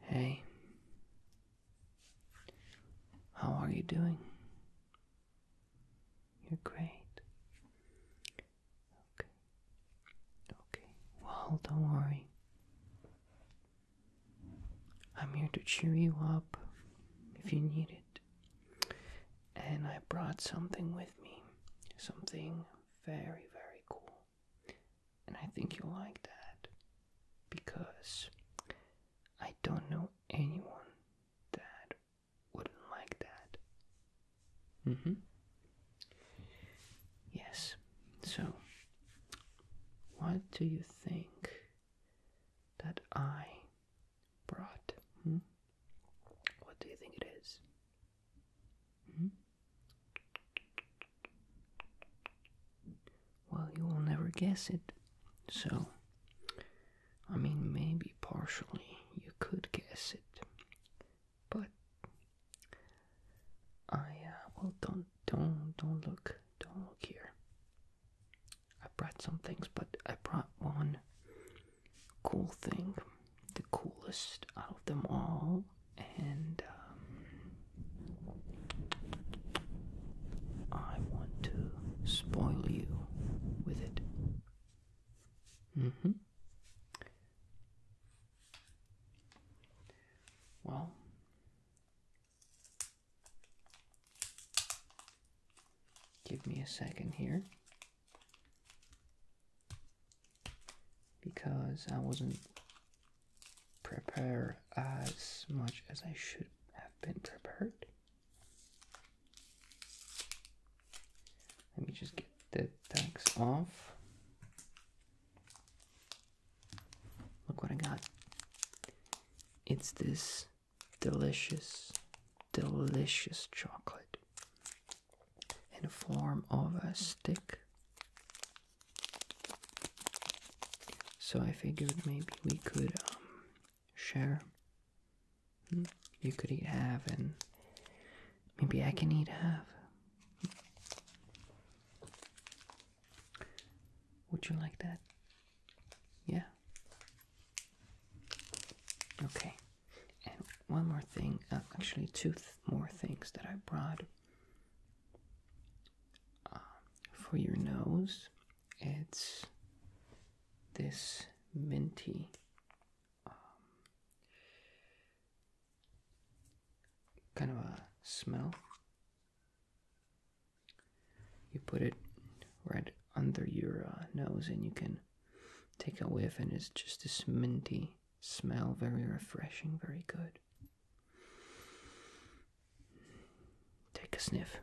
Hey, how are you doing? You're great. Okay. Okay. Well, don't worry. I'm here to cheer you up if you need it. And I brought something with me. Something very, very cool and I think you'll like that because I don't know anyone that wouldn't like that. Mm-hmm. Yes. So, what do you think that I brought? Hmm? What do you think it is? Hmm? Well, you will never guess it. So, I mean, maybe partially you could guess it. But I uh, well don't don't don't look don't look here. I brought some things, but I brought one cool thing, the coolest out of them all and um, I want to spoil you with it. Mm-hmm. Well, give me a second here because I wasn't prepared as much as I should have been prepared. Let me just get the tags off. Look what I got. It's this delicious, delicious chocolate in the form of a stick. So I figured maybe we could um, share. Hmm? You could eat half, and maybe I can eat half. Would you like that? Yeah. Okay. And one more thing, uh, actually, two more things that I brought. Um, for your nose, it's this minty um, kind of a smell. You put it right under your uh, nose, and you can take a whiff, and it's just this minty smell very refreshing, very good. Take a sniff.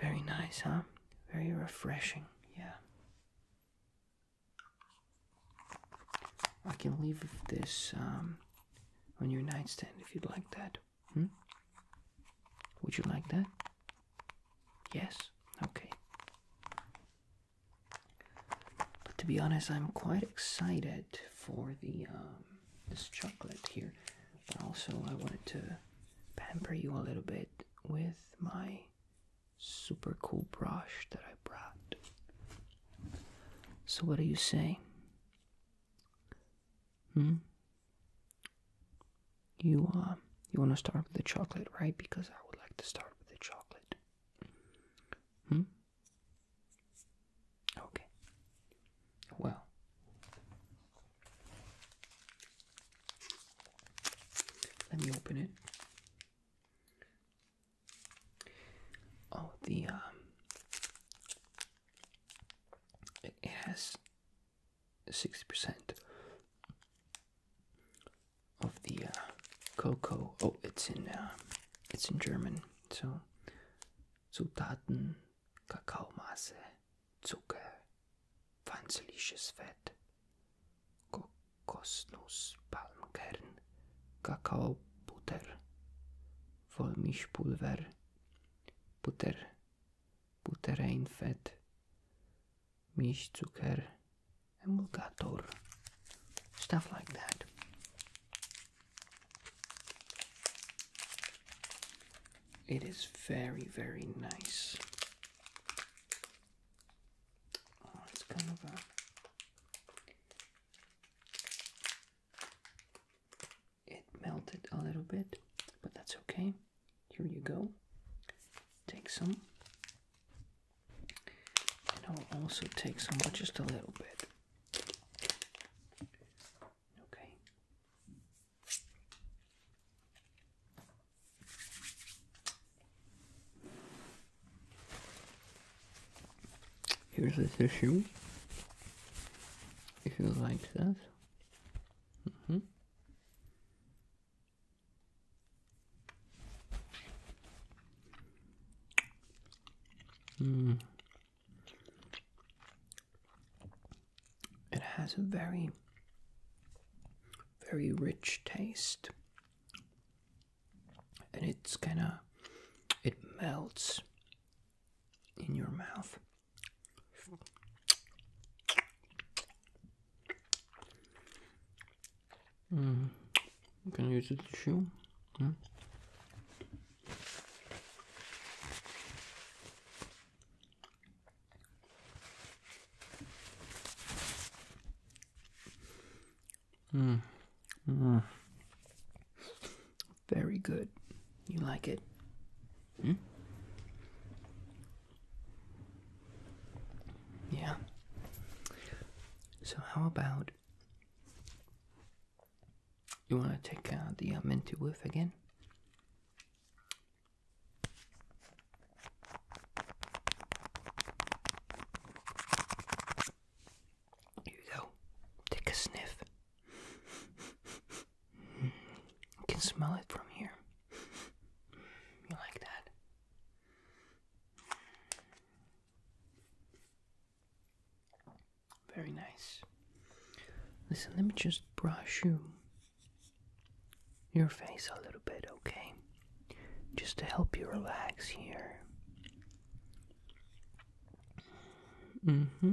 Very nice, huh? Very refreshing, yeah. I can leave this um, on your nightstand if you'd like that. Hmm? Would you like that? Yes? Okay. But to be honest, I'm quite excited for the um, this chocolate here. But also, I wanted to pamper you a little bit with my super cool brush that I brought. So, what do you say? Hmm? you uh, you want to start with the chocolate, right? Because I would like to start with the chocolate. Hmm. Okay. Well. Let me open it. Oh, the um, it 60% of the uh, cocoa. Oh, it's in uh, it's in German. So Zutaten, Kakaomasse, Zucker, pflanzliches Fett, Kokosnuss, Palmkern, Kakaobutter, Vollmilchpulver, Butter, Butter Butter Butter Mish Milchzucker, emulgator, stuff like that. It is very, very nice. Oh, it melted a little bit, but that's okay. Here you go. Take some. And I'll also take some, but just a little bit. Okay. Here's the tissue. If you like that. -hmm. Mm. It has a very, very rich taste, and it's kind of it melts in your mouth. Mm. You can use a tissue. Mm. mm. Mm. Very good. You like it? Hmm? Yeah. So, how about you want to take uh, the uh, minty whiff again? Here you go. Take a sniff. You can smell it from here. You like that? Very nice. Listen, let me just brush you your face a little bit, okay? Just to help you relax here. Mm-hmm.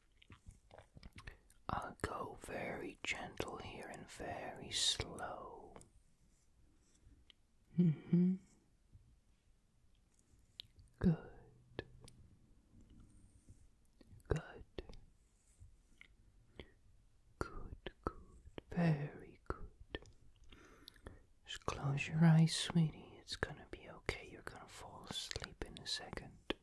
I'll go very gentle here and very slow. Mm hmm. Good. Good. Good, good, very good. Just close your eyes, sweetie. It's gonna be okay. You're gonna fall asleep in a second.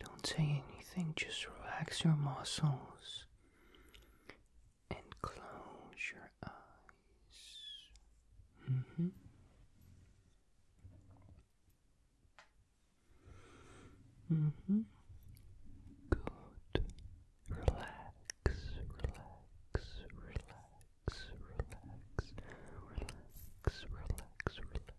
Don't say anything, just relax your muscles and close your eyes. -hmm. hmm Good. relax, relax, relax, relax, relax, relax.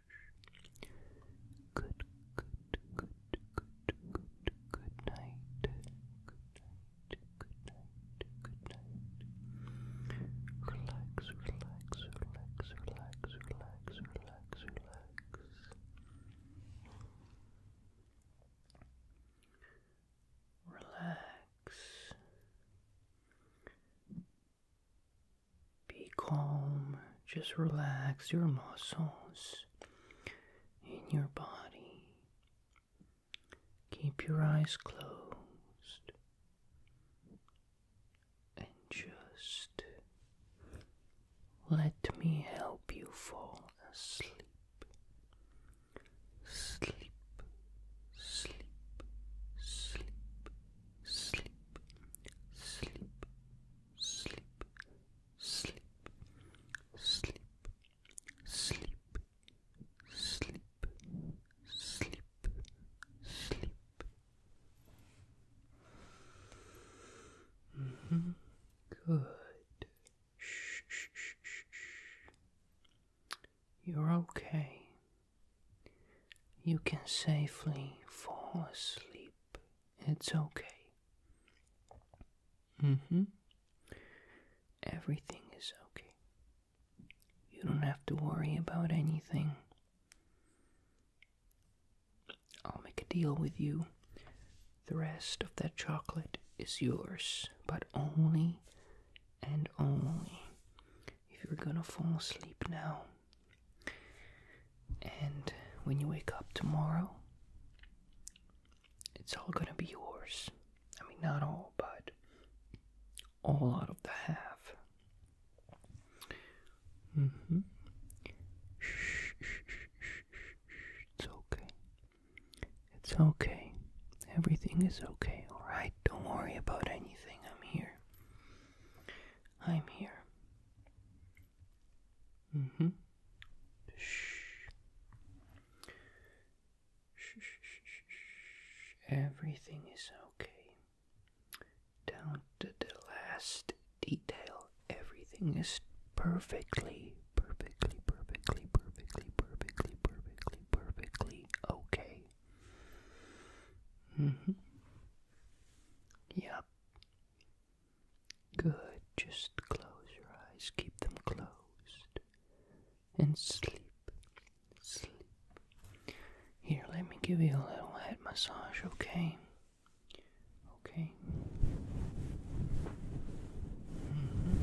Good, good, good, good, good, good night. Good night, good night, good night. Relax, relax, relax, relax, relax, relax, relax. Relax. Be calm, just relax your muscles in your body. Keep your eyes closed and just let me help you fall asleep. Sleep, sleep, sleep, sleep, sleep, sleep, sleep, sleep, sleep, sleep, sleep, sleep. Mm -hmm. Good. Shh, shh, shh, shh. You're okay. You can safely fall asleep. It's okay. Mm hmm. Everything is okay. You don't have to worry about anything. I'll make a deal with you. The rest of that chocolate is yours, but only and only if you're gonna fall asleep now. And when you wake up tomorrow, it's all gonna be yours. I mean, not all, but all out of the half. Mm hmm. shh, shh, shh, shh. It's okay. It's okay. Everything is okay, alright? right, don't worry about anything. I'm here. I'm here. Mm hmm. Shh. Shh, shh, shh, shh. Everything is okay. Down to the last detail, everything is perfectly, perfectly, perfectly, perfectly, perfectly, perfectly, perfectly okay. Mm -hmm. Yep. Good. Just close your eyes. Keep them closed. And sleep. Sleep. Here, let me give you a little head massage, okay? Okay. Mm-hmm.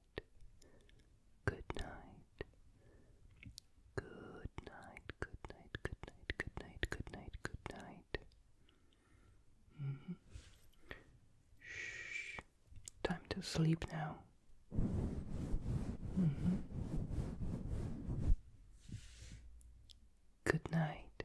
Good night. Good night. Good night. Good night. Good night. Good night. Good night. Mm -hmm. Shh. Time to sleep now. Mm -hmm. Good night.